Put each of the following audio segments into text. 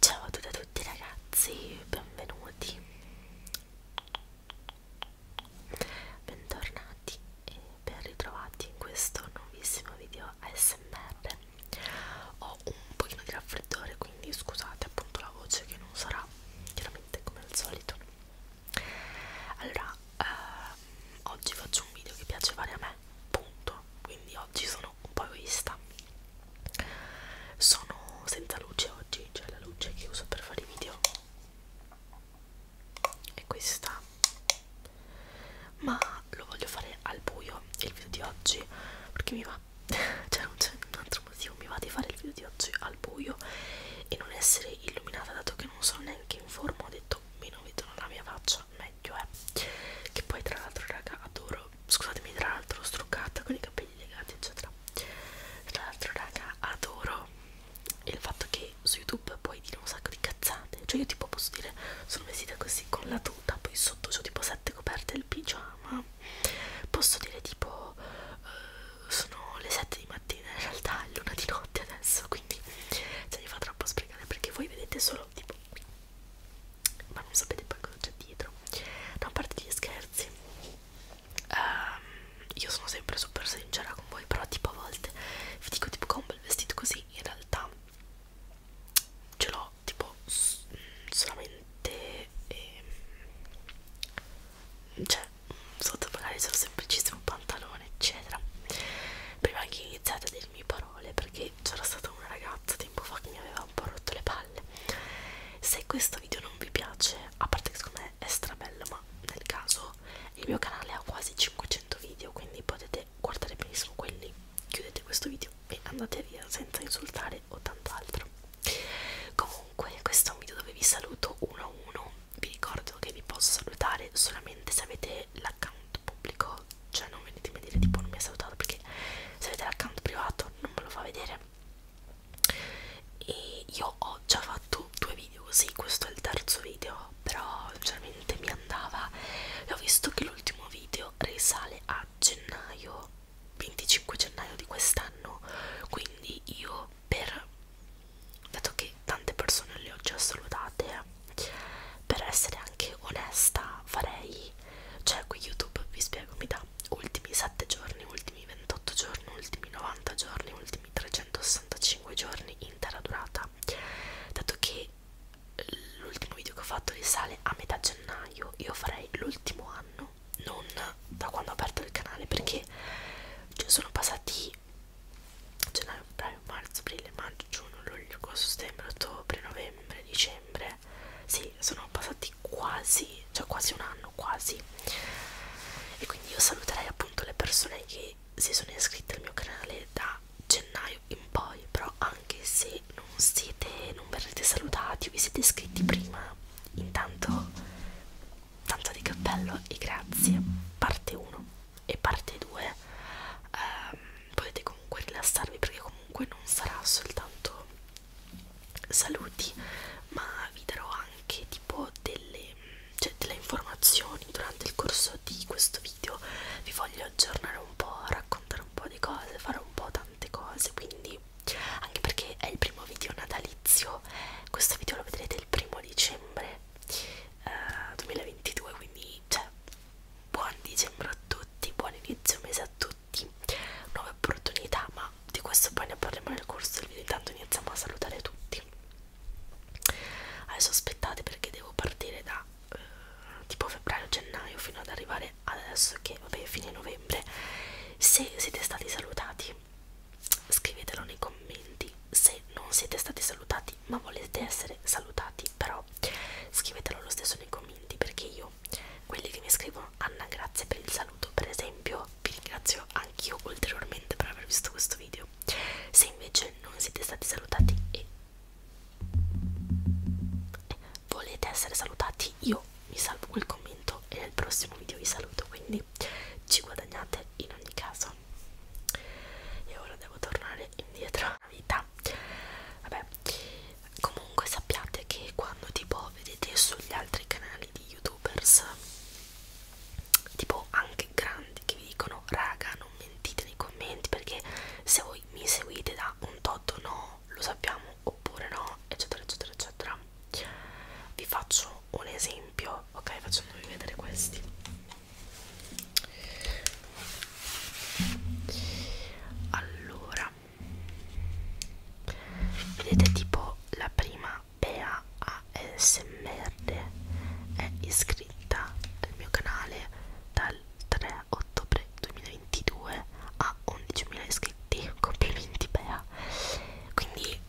Ciao a tutti, a tutti ragazzi, benvenuti, bentornati e ben ritrovati in questo nuovissimo video video ASMR ho un pochino di raffreddore quindi scusate appunto la voce che non sarà chiaramente come al solito allora ehm, oggi faccio un video che piace fare a me punto quindi oggi sono un po' egoista sono senza luce oggi cioè la luce che uso per fare i video è questa ma lo voglio fare al buio il video di oggi perché mi va cioè non c'è un altro motivo mi va di fare il video di oggi al buio e non essere illuminata dato che non sono neanche in forma ho detto meno vedono la mia faccia meglio è eh. che poi tra l'altro raga adoro scusatemi tra l'altro struccata con i capelli legati eccetera tra l'altro raga adoro il fatto che su youtube YouTube puoi dire un sacco di cazzate. Cioè, io tipo posso dire sono vestita così con la tuta, poi sotto ho tipo sette coperte il pigiama. Posso dire tipo uh, sono le 7 di mattina, in realtà è l'una di notte adesso, quindi se mi fa troppo sprecare perché voi vedete solo tipo ma non sapete poi cosa c'è dietro. Da no, parte gli scherzi. Um, io sono sempre super sincera con voi, però tipo a volte vi dico tipo con un bel vestito così in realtà ce l'ho tipo solamente ehm, cioè sotto magari sono semplicissimo pantalone eccetera prima che iniziate a dirmi parole perché c'era stata una ragazza tempo fa che mi aveva un po' rotto le palle se questo video non vi piace a parte che secondo me è strabello ma nel caso il mio canale ha quasi 500 video quindi potete se guardate benissimo quelli chiudete questo video e andate via senza insultare o tant'altro comunque questo è un video dove vi saluto uno a uno vi ricordo che vi posso salutare solamente se avete l'account pubblico cioè non venitemi a dire tipo non mi ha salutato perché se avete l'account privato non me lo fa vedere e io ho già fatto due video così questo è il terzo video però sinceramente mi andava e ho visto che l'ultimo video risale a gennaio 25 gennaio di quest'anno quindi io per dato che tante persone le ho già salutate per essere anche onesta farei cioè qui youtube vi spiego mi dà ultimi 7 giorni ultimi 28 giorni ultimi 90 giorni ultimi 365 giorni intera durata dato che l'ultimo video che ho fatto risale a metà gennaio io farei l'ultimo anno non da quando ho aperto il canale perché cioè, sono passati gennaio, febbraio, marzo, aprile, maggio, giugno, luglio, agosto, settembre, ottobre, novembre, dicembre sì, sono passati quasi, cioè quasi un anno, quasi e quindi io saluterei appunto le persone che si sono iscritti al mio canale da gennaio in poi però anche se non siete non verrete salutati vi siete iscritti prima intanto tanto di cappello e grazie parte 1 e parte 2 ehm, potete comunque rilassarvi perché comunque non sarà soltanto saluti ma vi darò anche tipo delle cioè delle informazioni durante il corso di questo video vi voglio aggiornare un po', raccontare un po' di cose, fare un po' tante cose quindi anche perché è il primo video natalizio questo video lo vedrete il primo dicembre eh, 2022 quindi cioè buon dicembre a tutti buon inizio mese a tutti nuove opportunità ma di questo poi ne parleremo nel corso del video intanto iniziamo a salutare tutti adesso aspettate perché devo partire da eh, tipo febbraio gennaio fino ad arrivare adesso che vabbè fine novembre se siete stati salutati scrivetelo nei commenti se non siete stati salutati ma volete essere salutati però scrivetelo lo stesso nei commenti perché io quelli che mi scrivono Anna grazie per il saluto per esempio vi ringrazio anch'io ulteriormente per aver visto questo video se invece non siete stati salutati e volete essere salutati io mi salvo quel commento e nel prossimo video vi saluto quindi ci guadagnate in ogni caso e ora devo tornare indietro alla vita vabbè comunque sappiate che quando tipo vedete sugli altri canali di youtubers tipo anche grandi che vi dicono raga non mentite nei commenti perché se voi mi seguite da un tot no, lo sappiamo oppure no, eccetera eccetera eccetera. Vi faccio un esempio, ok, facendovi vedere questi. Allora, vedete tipo la prima PA ASMR è iscritta iscritta del mio canale dal 3 ottobre 2022 a 11.000 iscritti complimenti Bea quindi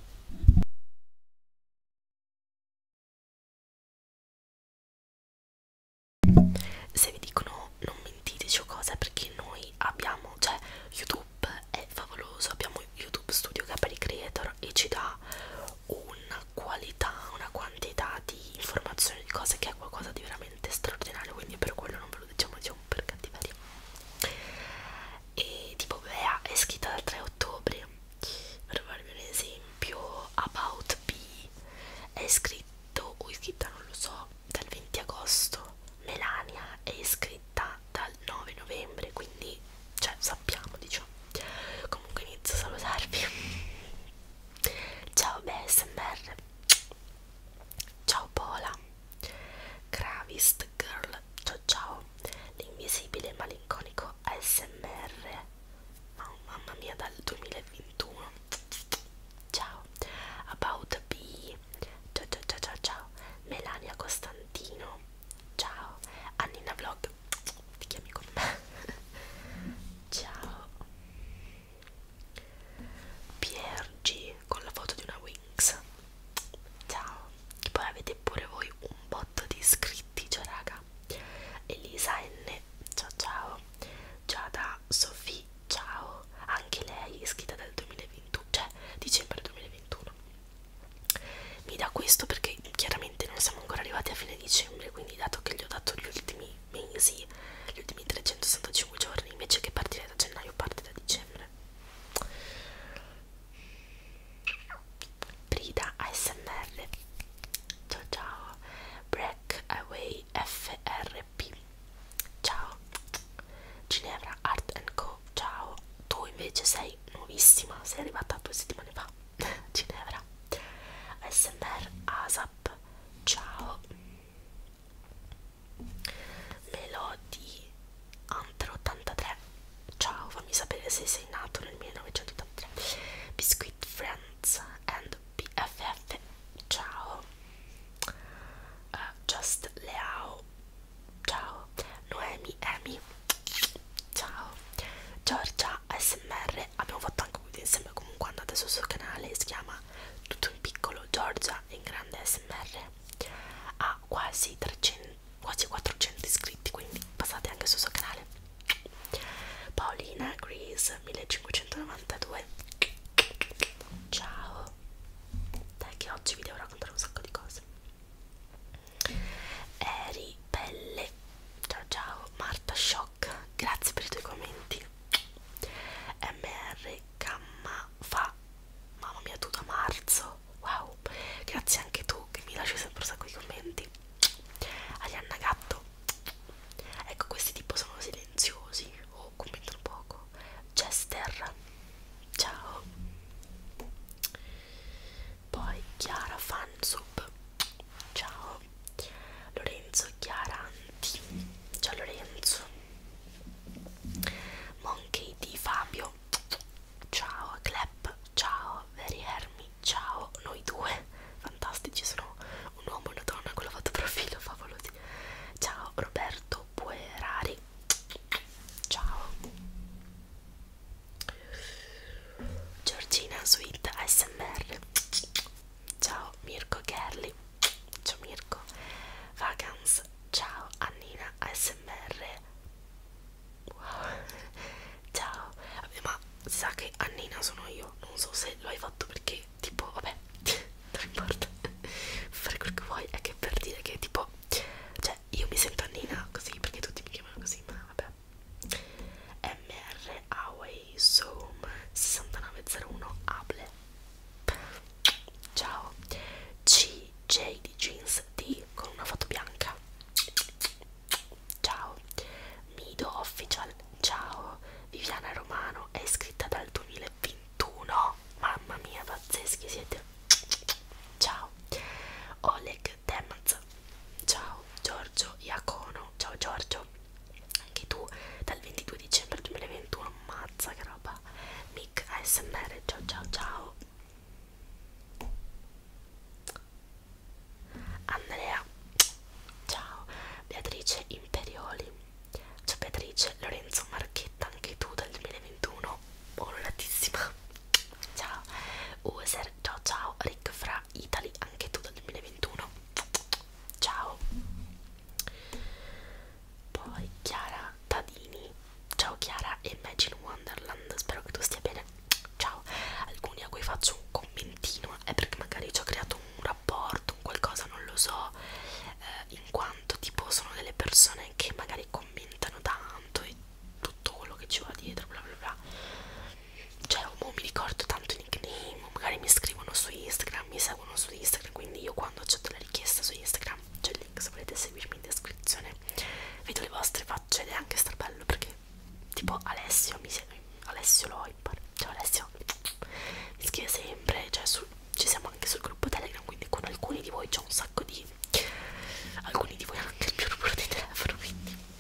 se vi dicono non mentiteci o cosa perché noi abbiamo cioè youtube è favoloso abbiamo youtube studio che è per i creator e ci dà una qualità, una quantità di informazioni, di cose che è qualcosa di veramente straordinario, quindi per quello non ve lo diciamo, diciamo per cattiveria. E tipo Bea è scritta dal 3 ottobre, per farvi un esempio, About B è scritto, o iscritta non lo so, dal 20 agosto, Melania è iscritta dal 9 novembre, quindi cioè sappiamo diciamo comunque inizio a salutarvi ciao BSMR ciao Pola Gravist Girl ciao ciao l'invisibile malinconico ASMR oh, mamma mia dal 2021 ciao About B ciao ciao ciao ciao, ciao. Melania Costantino ciao Annina Vlog progetto ti chiami con me ciao PRG con la foto di una Wings ciao e poi avete pure voi un botto di iscritti ciao raga Elisa N ciao ciao Giada Sofì ciao anche lei è iscritta dal 2021 cioè dicembre 2021 mi dà questo perché poi chiaramente non siamo ancora arrivati a fine dicembre quindi dato che gli ho dato gli ultimi mesi gli ultimi 365 giorni invece che partire da gennaio parte da dicembre Brida ASMR ciao ciao Breakaway FRP ciao Ginevra Art and Co ciao tu invece sei nuovissima sei arrivata due settimane fa Ginevra ASMR ASAP ciao Melody Antro 83 ciao fammi sapere se sei nato nel 1983 Biscuit Friends and BFF ciao uh, Just Leao ciao Noemi Emi Ciao Giorgia ASMR Abbiamo fatto anche un video insieme Comunque andate sul suo canale Si chiama tutto in piccolo Giorgia in grande ASMR Ha quasi, 300, quasi 400 iscritti Quindi passate anche sul suo canale Paolina Grease 1592 Ciao Dai che oggi vi devo raccontare un sacco di cose Eri Pelle Ciao ciao Marta Shock Grazie per i tuoi commenti MR Gamma Fa Mamma mia tu da marzo Wow Grazie anche tu che mi lasci sempre un sacco di commenti Arianna Gatto Ecco questi tipo sono silenziosi O oh, commentano poco Chester Ciao poi Chiara Fansub ciao Lorenzo Chiaranti ciao Lorenzo Monkey di Fabio ciao Clep ciao Veri Hermi ciao noi due fantastici sono un uomo e una donna con la foto profilo favolosi ciao Roberto Puerari ciao Giorgina Sweet ASMR Ciao Mirko Kerli Ciao Mirko Vagans Ciao Annina ASMR Wow Ciao Vabbè ma sa che Annina sono io Non so se lo hai fatto perché tipo vabbè non importa Fare quel che vuoi è che per dire che tipo cioè io mi sento Annina così perché tutti mi chiamano così ma vabbè MR Away Zoom 6901 Able Ciao CJ di Jeans D con una foto bianca Ciao Mido Official Ciao Viviana Romano è iscritta dal 2021 Mamma mia pazzeschi siete Ciao Oleg Temaz Ciao Giorgio Iacono, ciao Giorgio, anche tu dal 22 dicembre 2021, ammazza che roba, Mick ASMR, ciao ciao ciao. Andrea, ciao, Beatrice Imperioli, ciao Beatrice, Lorenzo Marchetta, anche tu dal 2021, onoratissima, Ciao User, ciao ciao Rick fra Italy, anche tu dal 2021. Ciao. Poi Chiara Tadini. Ciao Chiara e Imagine Wonderland, spero che tu stia bene. Ciao. Alcuni a cui faccio un commentino è perché magari ci ho creato un rapporto, un qualcosa, non lo so, eh, in quanto tipo sono delle persone che magari commentano tanto e tutto quello che ci va dietro, bla bla bla cioè non oh, mi ricordo tanto i nickname magari mi scrivono su Instagram mi seguono su Instagram quindi io quando accetto la richiesta su Instagram c'è il link se volete seguirmi in descrizione vedo le vostre facce ed è anche strabello perché tipo Alessio mi segue Alessio lo impar cioè Alessio mi scrive sempre cioè sul, ci siamo anche sul gruppo Telegram quindi con alcuni di voi c'è un sacco di alcuni di voi hanno anche il mio numero di telefono quindi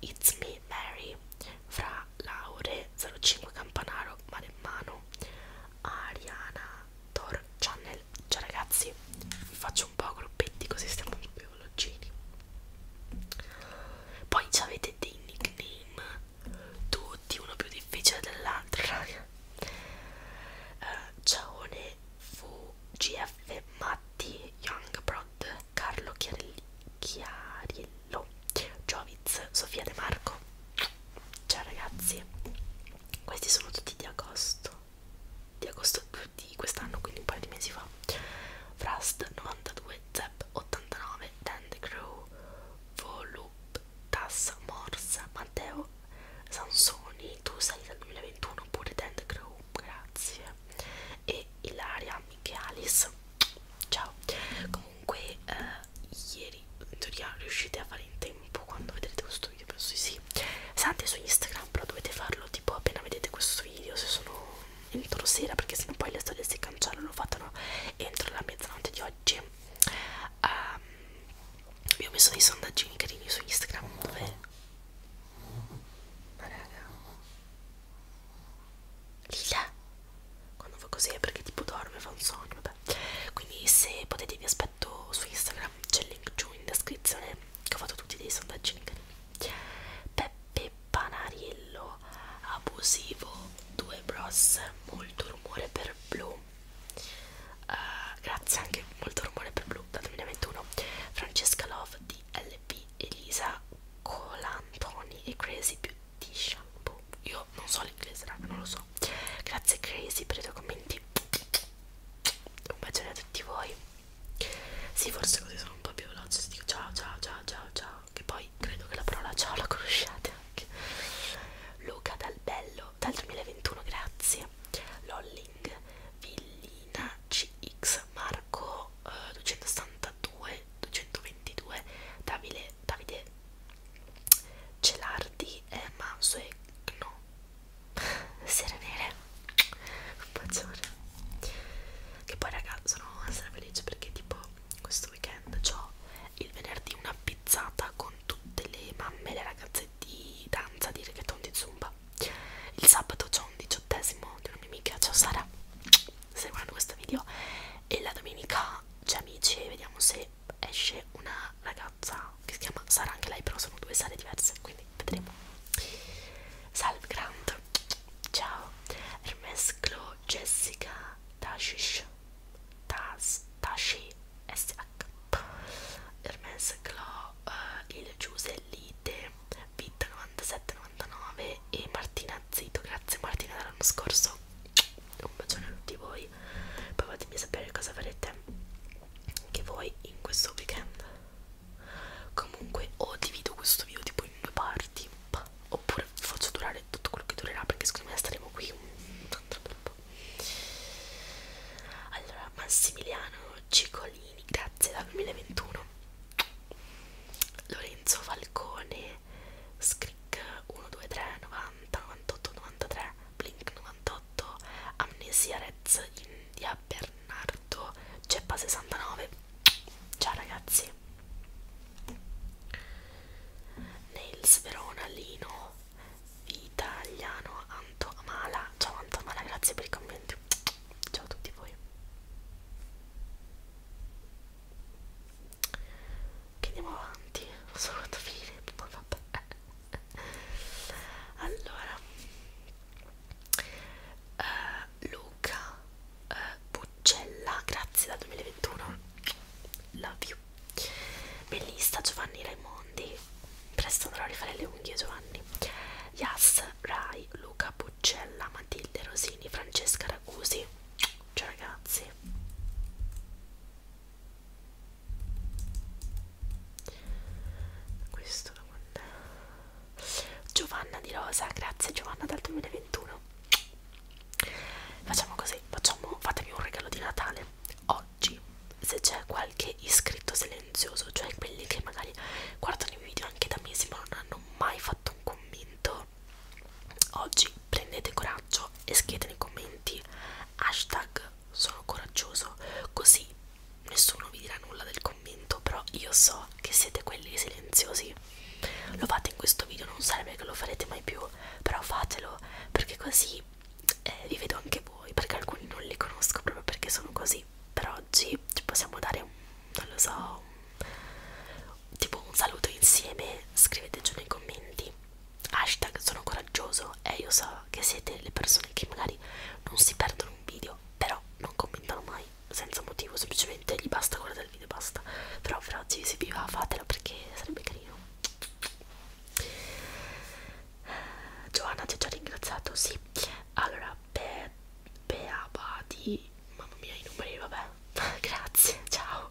It's Me Mary fra Laure 05 Campanaro Maremmano Ariana Tor Channel Ciao ragazzi vi faccio un po' gruppetti così stiamo un po' logini Poi avete dei nickname tutti uno più difficile dell'altro raga uh, eh, Ciaone VGF Matti Young Prod Carlo Chiarelli, Chiariello, Joviz, Sofia De Marco. Ciao ragazzi, questi sono tutti di agosto, di agosto di quest'anno, quindi un paio di mesi fa. Frust 92, Zep 89, Dandy Crew, Voluptas, Morsa, Matteo, Sansoni, tu sei dal 2021 oppure Dandy Crew, grazie e Ilaria Michealis ciao comunque eh, ieri in teoria riuscite a fare in tempo quando vedrete questo video penso di sì se andate su Instagram però dovete farlo tipo appena vedete questo video se sono entro sera perché sennò poi le storie si cancellano lo fatano entro la mezzanotte di oggi um, io ho messo dei sondaggini carini su Instagram dove ma raga Lila quando fa così è perché tipo dorme fa un sogno vabbè quindi se potete vi aspetto su Instagram c'è il link giù in descrizione che ho fatto tutti dei sondaggi carini Peppe Panariello abusivo due bros molto rumore per blu uh, grazie anche molto rumore per blu dal 2021 Francesca Love di LP Elisa Colantoni e Crazy Beauty Shampoo. Io non so l'inglese, raga, non lo so. Grazie Crazy per i tuoi commenti. Un bacione a tutti voi. Sì, forse così sono un po' più veloce. Si dico ciao, ciao, ciao, ciao, ciao. Che poi credo che la parola ciao la conosciate anche. Luca dal bello dal 2021, grazie. Lolling, Villi, Nina CX Marco eh, 272 222 Davide, Davide Celardi e Manso e no Sera nere un bacione che poi raga sono stra felice perché tipo questo weekend ho il venerdì una pizzata con tutte le mamme le ragazze di danza di reggaeton di zumba il sabato c'ho un diciottesimo di una mia amica ciao Sara seguendo questo video e la domenica c'è cioè, amici e vediamo se esce una ragazza che si chiama Sara anche lei però sono due sale diverse quindi vedremo Salve Grant ciao Hermes Clo Jessica Tashish Tas Tashi SH Hermes Clo uh, eh, il Giusellite Vita 9799 e Martina Zito, grazie Martina dell'anno scorso, un bacione a tutti voi, poi fatemi sapere cosa farete anche voi in questo weekend. Comunque o divido questo video tipo in due parti, oppure faccio durare tutto quello che durerà perché secondo me staremo qui un tanto troppo. Allora, Massimiliano Cicolini, grazie dal 2021 Lorenzo Falcone Scrick 123 90 98 93 Blink 98 Amnesia Reds India Bernardo Ceppa 69 Ciao ragazzi Nails Verona Lino Italiano Anto Amala Ciao Anto Amala grazie per i commenti Ciao a tutti voi che andiamo avanti ho solo fatto finire ma vabbè allora uh, Luca uh, Buccella grazie dal 2021 love you Bellista Giovanni Raimondi presto andrò a rifare le unghie Giovanni Yas Rai Luca Puccella, Matilde Rosini, Francesca Ragusi. Ciao ragazzi. Questo da quando... Giovanna di Rosa, grazie Giovanna dal 2021. Facciamo così, facciamo, fatemi un regalo di Natale. Oggi, se c'è qualche iscritto silenzioso, cioè quelli che magari guardano i video anche da mesi ma non hanno hanno mai fatto un commento oggi prendete coraggio e scrivete nei commenti hashtag sono coraggioso così nessuno vi dirà nulla del commento però io so che siete quelli silenziosi lo fate in questo video non sarebbe che lo farete mai più però fatelo perché così eh, vi vedo anche voi perché alcuni non li conosco proprio perché sono così quindi per oggi ci possiamo dare un, non lo so, un, tipo un saluto insieme, scrivete giù nei commenti, hashtag sono coraggioso e io so che siete le persone che magari non si perdono un video, però non commentano mai senza motivo, semplicemente gli basta guardare il video e basta, però per oggi se vi va fatelo perché sarebbe carino. Giovanna ti ho già ringraziato, sì. Allora, Be Beabadi mamma mia i numeri vabbè grazie ciao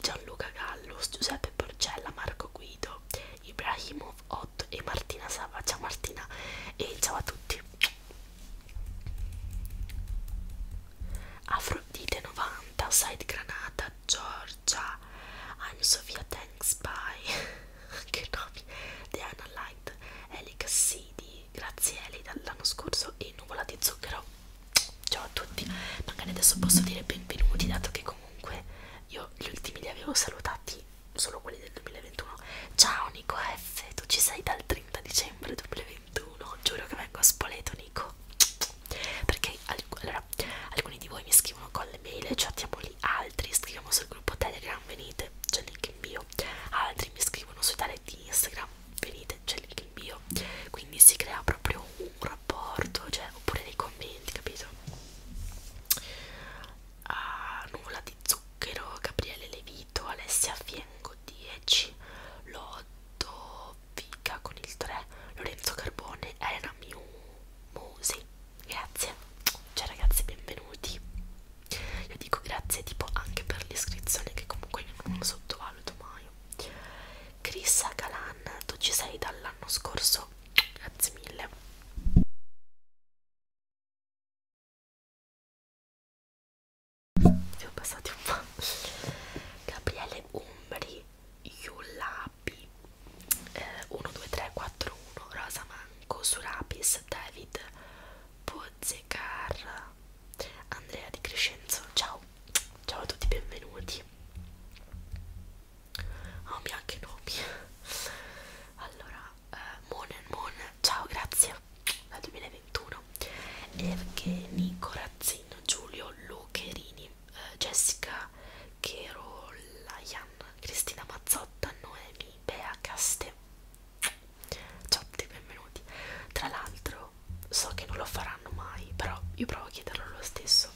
Gianluca Gallo Giuseppe Porcella Marco Guido Ibrahimov 8 e Martina Sava ciao Martina e ciao a tutti Afrodite 90 Side Granata Giorgia I'm Sofia Thanks Bye che nomi The Unalight Elica Sidi grazieli dall'anno scorso e nuvola di zucchero ciao a tutti magari adesso posso dire benvenuti dato che comunque io gli ultimi li avevo salutati solo quelli del 2021 ciao Nico F tu ci sei dal 30 dicembre 2021 giuro che vengo a Spoleto Nico perché allora, alcuni di voi mi scrivono con le mail e chattiamo lì altri scriviamo sul gruppo Telegram venite c'è link in bio bio altri mi scrivono sui tale di Instagram venite c'è lì il bio quindi si crea proprio un rapporto cioè, oppure nei commenti capito ah, nulla di zucchero Gabriele Levito Alessia Fiengo 10 Lotto Vica con il 3 Lorenzo Carbone Elena Miu Musi grazie ciao ragazzi benvenuti io dico grazie tipo anche per l'iscrizione che comunque io non sottovaluto mai. Chris Calan, tu ci sei dall'anno scorso, grazie mille. Siamo passati un po'. Gabriele Umbri, Yulapi, eh, 1, 2, 3, 4, 1, Rosa Manco, Surapis, David, Pozzecar, Andrea Di Crescenzo, ciao, ciao a tutti, benvenuti. Oh, mi anche nomi. Allora, eh, Moon and Moon, ciao, grazie, dal 2021. Evgenico Razzino, Giulio Lucherini, eh, Jessica Cherolayan, Cristina Mazzotta, Noemi, Bea Caste ciao ti benvenuti tra l'altro so che non lo faranno mai però io provo a chiederlo lo stesso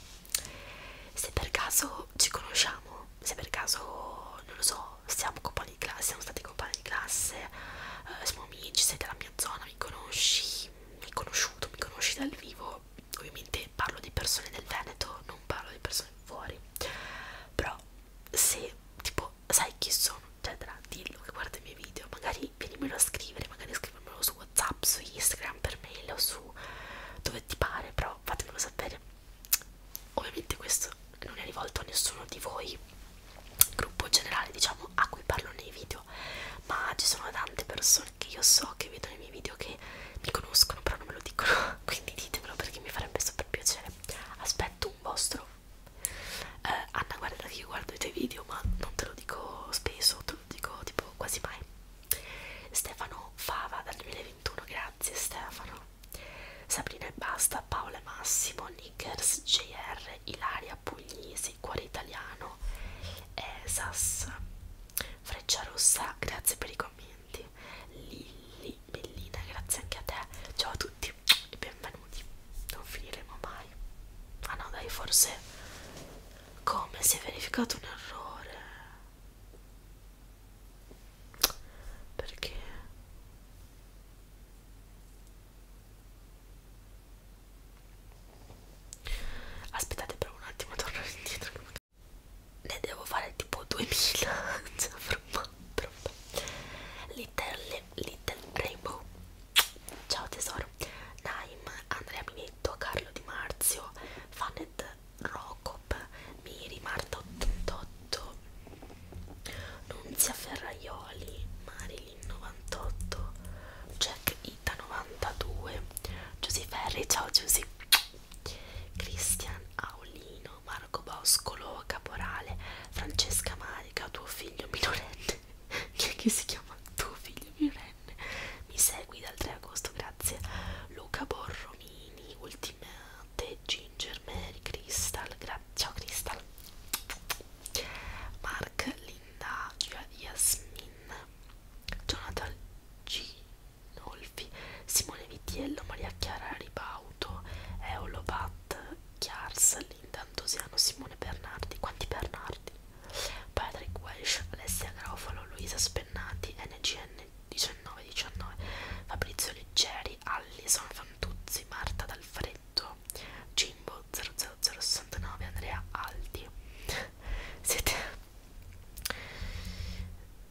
se per caso ci conosciamo se per caso non lo so siamo compagni di classe siamo stati compagni di classe eh, siamo amici sei della mia zona mi conosci mi hai conosciuto mi conosci dal vivo ovviamente parlo di persone del Veneto non parlo di persone fuori però se tipo sai chi sono, eccetera, cioè, dillo che guarda i miei video, magari vienimelo a scrivere, magari scrivemelo su Whatsapp, su Instagram, per mail o su dove ti pare, però fatemelo sapere. Ovviamente questo non è rivolto a nessuno di voi, gruppo generale diciamo a cui parlo nei video, ma ci sono tante persone che io so che vedono i miei video che mi conoscono però non me lo dicono, quindi ditemelo perché mi farebbe super piacere. Aspetto un vostro eh, Anna guarda che io guardo i tuoi video ma non te lo dico spesso te lo dico tipo quasi mai Stefano Fava dal 2021 grazie Stefano Sabrina e Basta Paola e Massimo Nickers JR Ilaria Puglisi Cuore Italiano Esas Freccia Rossa grazie per i commenti Lilli Bellina grazie anche a te ciao a tutti benvenuti e benvenuti non finiremo mai ah no dai forse come si è verificato un errore perché aspettate però un attimo torno indietro ne devo fare tipo 2000 l'Italia Little Rainbow ciao tesoro Naim, Andrea Minetto, Carlo Di Marzio Fanet Rocop Miri, Marta 88 Nunzia Ferraioli Marilyn 98 Jack Ita 92 Giusy Ferri, ciao Giusy Cristian Aulino Marino, Marco Boscolo, Caporale, Francesca Marica, tuo figlio minorenne. Chi è che si chiama tuo figlio minorenne? Mi segui dal 3 agosto, grazie. Luca Borromini, Ultimate, Ginger Mary, Crystal, ciao Crystal. Mark, Linda, Yasmin, Jonathan Ginolfi, Simone Vitiello, Maria Chiara Ribauto, Eolo Bat Matt Chiars, Linda Antosiano, Simone Bernardi, quanti Bernardi? Patrick Welsh, Alessia Garofalo, Luisa Spennati, NGN 1919, Fabrizio Leggeri, Allison Fantuzzi, Marta D'Alfreddo, Jimbo 00069, Andrea Aldi. Siete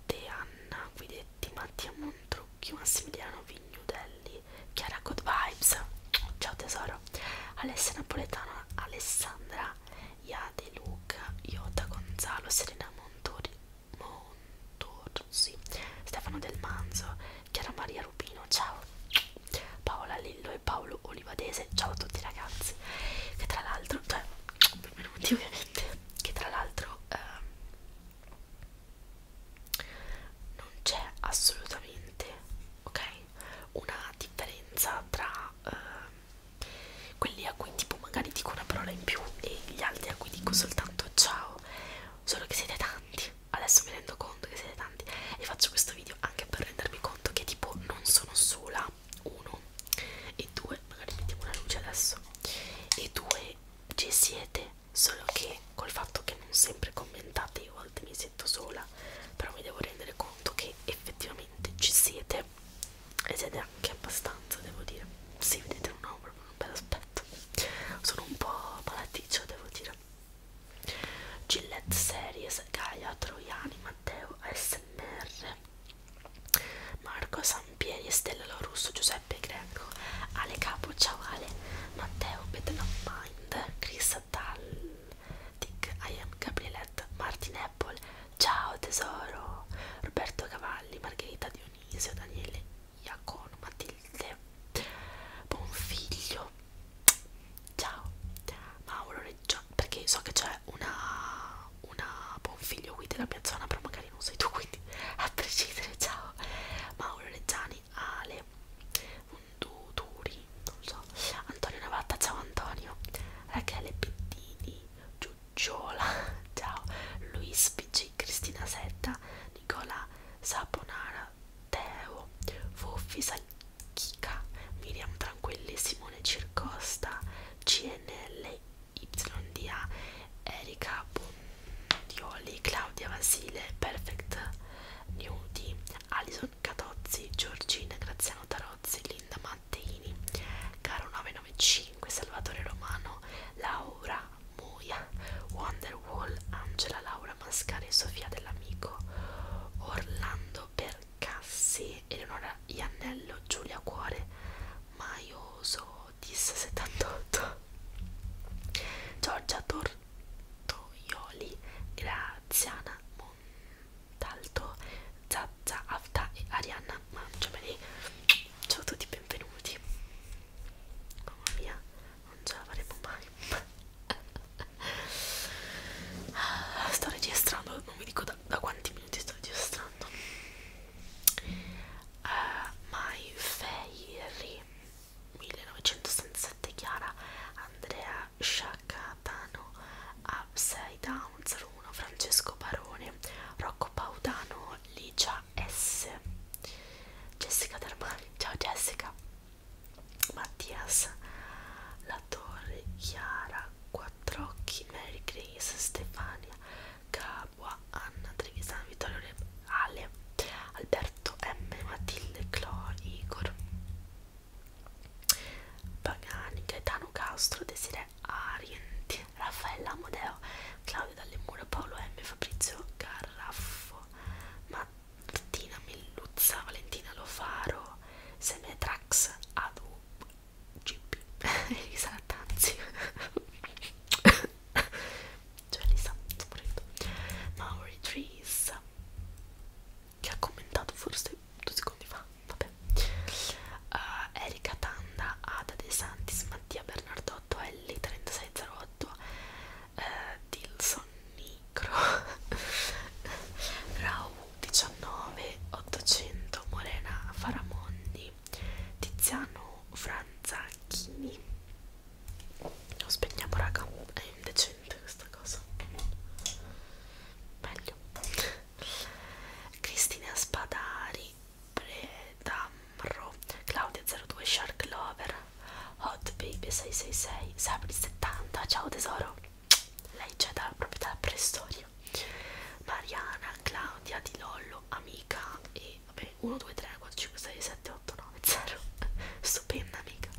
Deanna, quindi Benedetti, Mattia Montrucchi, Massimiliano Vignudelli, Chiara Good Vibes, ciao tesoro, Alessia Napoletana, Alessandra, Iade Luca, Iota Gonzalo, Serena Montori, Montorsi, Stefano Del Manzo, Chiara Maria Rubino, ciao, Paola Lillo e Paolo Olivadese, ciao a tutti ragazzi, che tra l'altro, cioè, benvenuti ovviamente, che tra l'altro... Eh, non c'è assolutamente ok una differenza tra eh, quelli a cui tipo magari dico una parola in più e gli altri a cui dico soltanto ciao solo che siete tanti adesso mi rendo conto che siete tanti e faccio questo video anche per rendermi conto che tipo non sono sola uno e due magari mettiamo una luce adesso e due ci siete solo che col fatto che non sempre commentate io a volte mi sento sola però mi devo rendere conto che effettivamente ci siete e siete anche abbastanza devo dire si sì, vedete non ho proprio un bel aspetto sono un po' malaticcio devo dire Gillette Series Gaia Troiani Matteo ASMR Marco Sampieri Stella Lorusso Giuseppe Giuseppe Greco, Ale Capo, ciao Ale, Matteo Bedlammind, Chris Dal, Dick I am Gabrielette, Martin Apple, ciao tesoro, Roberto Cavalli, Margherita Dionisio, Daniele Iacon, Matilde, Bonfiglio, ciao, Mauro Reggio, perché so che c'è una, una Bonfiglio qui della mia zona, però magari non sei tu, quindi a prescindere, ciao, Mauro Reggiani, Ale Duturi, non so, Antonio Navatta, ciao Antonio, Rachele Pettini, Giuggiola, ciao, Luis PG, Cristina Setta, Nicola Saponara, Teo, Fuffi Sacchica, Miriam Tranquilli, Simone Circosta, CNL YDA, Erika Bonno di Oli, Claudia Vasile, Perfect Newty, Alison Catozzi, Giorgina, Graziano Tarozzi, Linda Matteini, Caro 995, Salvatore Romano, Laura Moia, Wonderwall, Angela Laura Mascari, Sofia dell'Amico, Orlando Percassi, Eleonora Iannello, Giulia Cuore, Maioso DIS78 Giorgia Tortoioli Graziana Montalto Zazza Afta e Arianna Mangiameli Ciao a tutti, benvenuti Mamma mia, non ce la faremo mai Sto registrando, non vi dico da, da quanti minuti sto registrando Uh, my Fairy 1967 Chiara Andrea Sciacatano Upside Down 01 Francesco Barone Rocco Paudano Licia S Jessica Dermani Ciao Jessica Mattias La Torre Chiara Quattrocchi Mary Grace Stefania Gab Capua, Anna Trevisan, Vittorio Re, Ale, Alberto M, Matilde, Clo, Igor Pagani, Gaetano Castro, Desire Arienti, Raffaella Amodeo, Claudio Dalle Mura, Paolo M, Fabrizio Garraffo, Martina Milluzza, Valentina Lofaro, Semetrax, Adu, GP, Elisa Tanzi cioè Lisa Sporeto Maori Trees che ha commentato forse due secondi fa vabbè uh, Erika Tanda Ada De Santis Mattia Bernardotto Ellie 3608 uh, eh, Dilson Nicro Rau 19 800 Morena Faramondi Tiziano Franzacchini lo spegniamo raga, è indecente questa cosa. Meglio. Cristina Spadari, Predamro, Claudia02, Shark Lover, Hot Baby 666, Sabri 70, ciao tesoro. Lei c'è da, proprio dalla preistoria. Mariana, Claudia di Lollo, amica e vabbè 1, 2, 3, 4, 5, 6, 7, 8, 9, 0 stupenda amica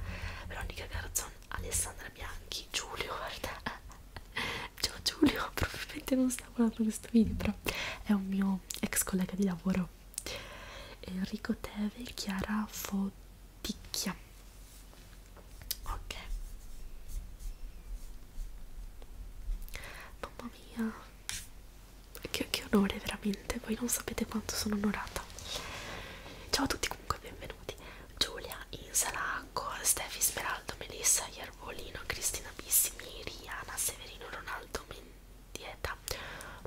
Veronica Garzon, Alessandra Bianchi, Giulio guarda ciao Giulio, probabilmente non sta guardando questo video però è un mio ex collega di lavoro Enrico Teve, Chiara Foticchia ok mamma mia che, che onore veramente, voi non sapete quanto sono onorata. Ciao a tutti comunque, benvenuti. Giulia, Insalacco, Stefi Smeraldo, Melissa, Iervolino, Cristina Bissimi, Riana, Severino, Ronaldo Mendieta,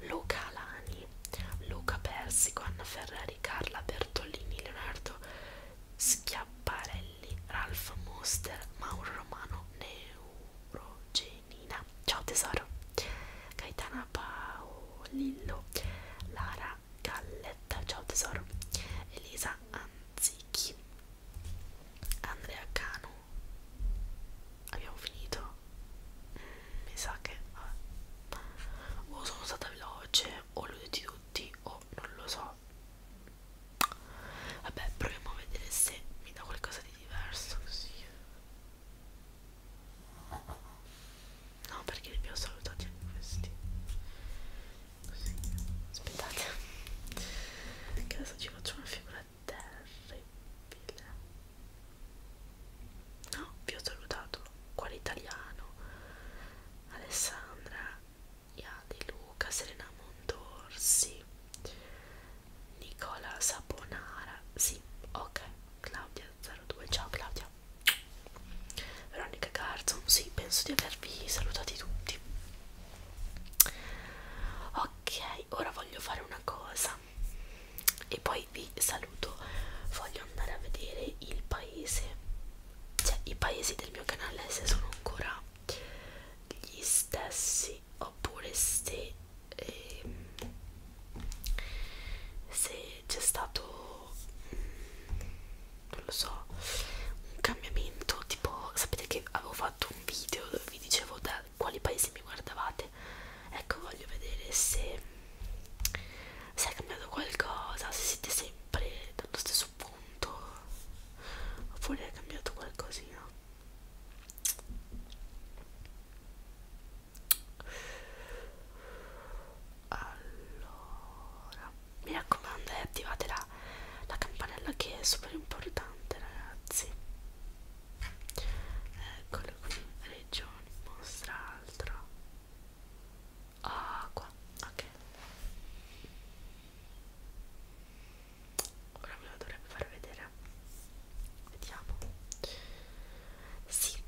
Luca Alani, Luca Persico, Anna Ferrari, Carla Bertolini, Leonardo Schiapparelli, Ralph Muster, Mauro Romano, Neurogeni Nina, ciao tesoro, Gaetana Paolillo, Lara Galletta, ciao tesoro, Elisa Anzichi, Andrea Cano. Abbiamo finito? Mi sa che o oh, sono stata veloce, o oh, li ho detti tutti, o oh, non lo so. Vabbè, proviamo a vedere se mi dà qualcosa di diverso così. No, perché li abbiamo solo tolti questi. Così. Aspettate. Che adesso ci faccio una figura terribile. No, vi ho salutato. Quale italiano? Alessandra. Ia di Luca, Serena Mondorsi, Nicola Saponara, sì, ok, Claudia02, ciao Claudia Veronica Garzon, sì, penso di avervi salutati tutti Ok, ora voglio fare una cosa e poi vi saluto Voglio andare a vedere il paese Cioè, i paesi del mio canale se sono ancora gli stessi oppure se ehm, se c'è stato mm, non lo so un cambiamento tipo sapete che avevo fatto un video dove vi dicevo da quali paesi mi guardavate ecco voglio vedere se se è cambiato qualcosa se siete sempre dallo stesso punto oppure è cambiato qualcosina allora mi raccomando e eh, attivate la, la campanella che è super importante ragazzi eccolo qui regioni mostra altro acqua ok ora ve lo dovrebbe far vedere vediamo sì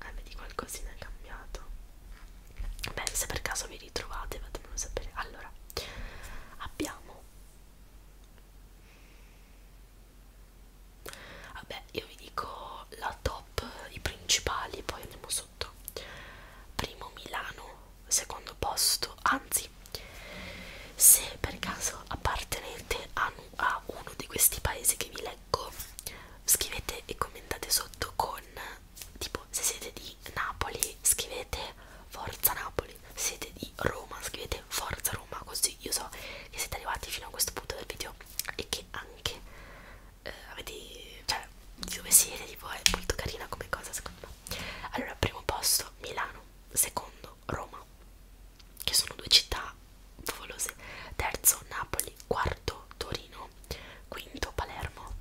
eh, vedi qualcosina è cambiato beh se per caso vi ritrovate fatemelo sapere allora abbiamo vabbè io vi dico la top i principali poi andiamo sotto primo Milano secondo posto anzi così se per caso appartenete a, a uno di questi paesi che vi leggo scrivete e commentate sotto con tipo se siete di Napoli scrivete Forza Napoli se siete di Roma scrivete Forza Roma così io so che siete arrivati fino a questo punto del video e che anche eh, avete cioè dove siete tipo è molto carina come cosa secondo me allora primo posto Milano secondo Roma, che sono due città favolose, terzo Napoli, quarto Torino, quinto Palermo,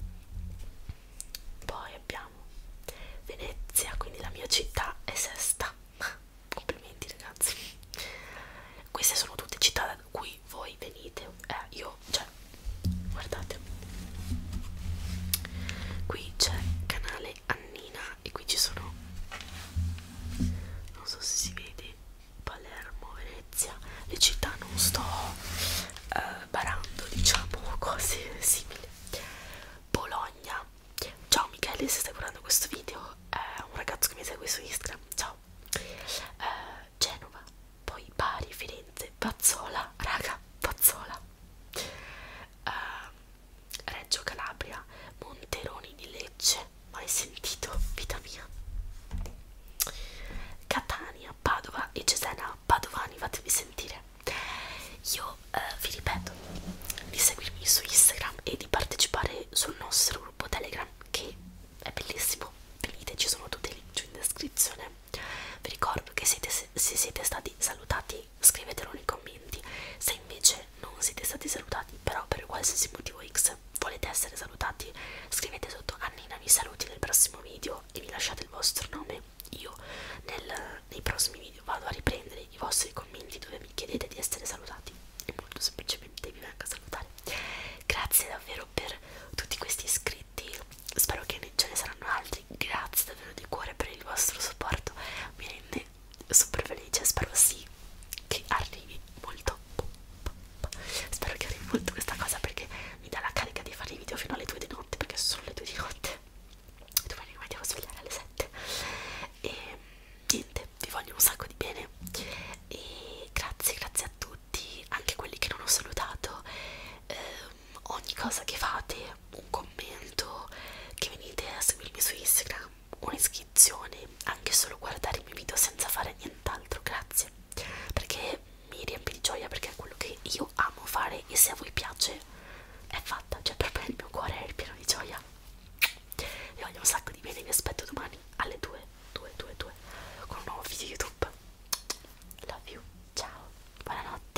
poi abbiamo Venezia, quindi la mia città è sesta, complimenti ragazzi, queste sono tutte città da cui voi venite, eh, io, cioè, guardate, qui c'è Canale Annina e qui ci sono non so se si vede Palermo, Venezia le città non sto eh, barando diciamo cose simili Bologna ciao Michele se stai guardando questo video è un ragazzo che mi segue su Instagram ciao eh, Genova poi Bari, Firenze, Pazzola raga, Pazzola uh, Reggio Calabria, Monteroni di Lecce, mai sentito, vita mia, Catania, Padova e Cesena, Padovani, fatevi sentire. Io uh, vi ripeto di seguirmi su Instagram e di partecipare sul nostro gruppo Telegram che è bellissimo, venite, ci sono tutti i link in descrizione. Vi ricordo che siete, se siete stati salutati scrivetelo nei commenti. Se invece non siete stati salutati, però per qualsiasi motivo X volete essere salutati, scrivete sotto Annina mi saluti nel prossimo video e vi lasciate il vostro nome. Io nel, nei prossimi video vado a riprendere i vostri commenti dove mi chiedete di essere salutati e molto semplicemente vi vengo a salutare. Grazie davvero per tutti questi iscritti, spero che ce ne saranno altri. Grazie davvero di cuore per il vostro supporto, mi rende super felice, spero sì che arrivi molto spero che arrivi molto questa cosa perché mi dà la carica di fare i video fino alle 2 di notte perché sono le 2 di notte e domani mi devo svegliare alle 7 e niente, vi voglio un sacco di bene e grazie, grazie a tutti anche quelli che non ho salutato ehm, ogni cosa che fate un commento, che venite a seguirmi su Instagram, un'iscrizione, anche solo guardare i miei video senza fare nient'altro, grazie, perché mi riempie di gioia, perché è quello che io amo fare e se a voi piace è fatta, cioè per me il mio cuore è pieno di gioia. Vi voglio un sacco di bene, vi aspetto domani alle 2, 2, 2, 2 con un nuovo video YouTube. Love you, ciao, buonanotte.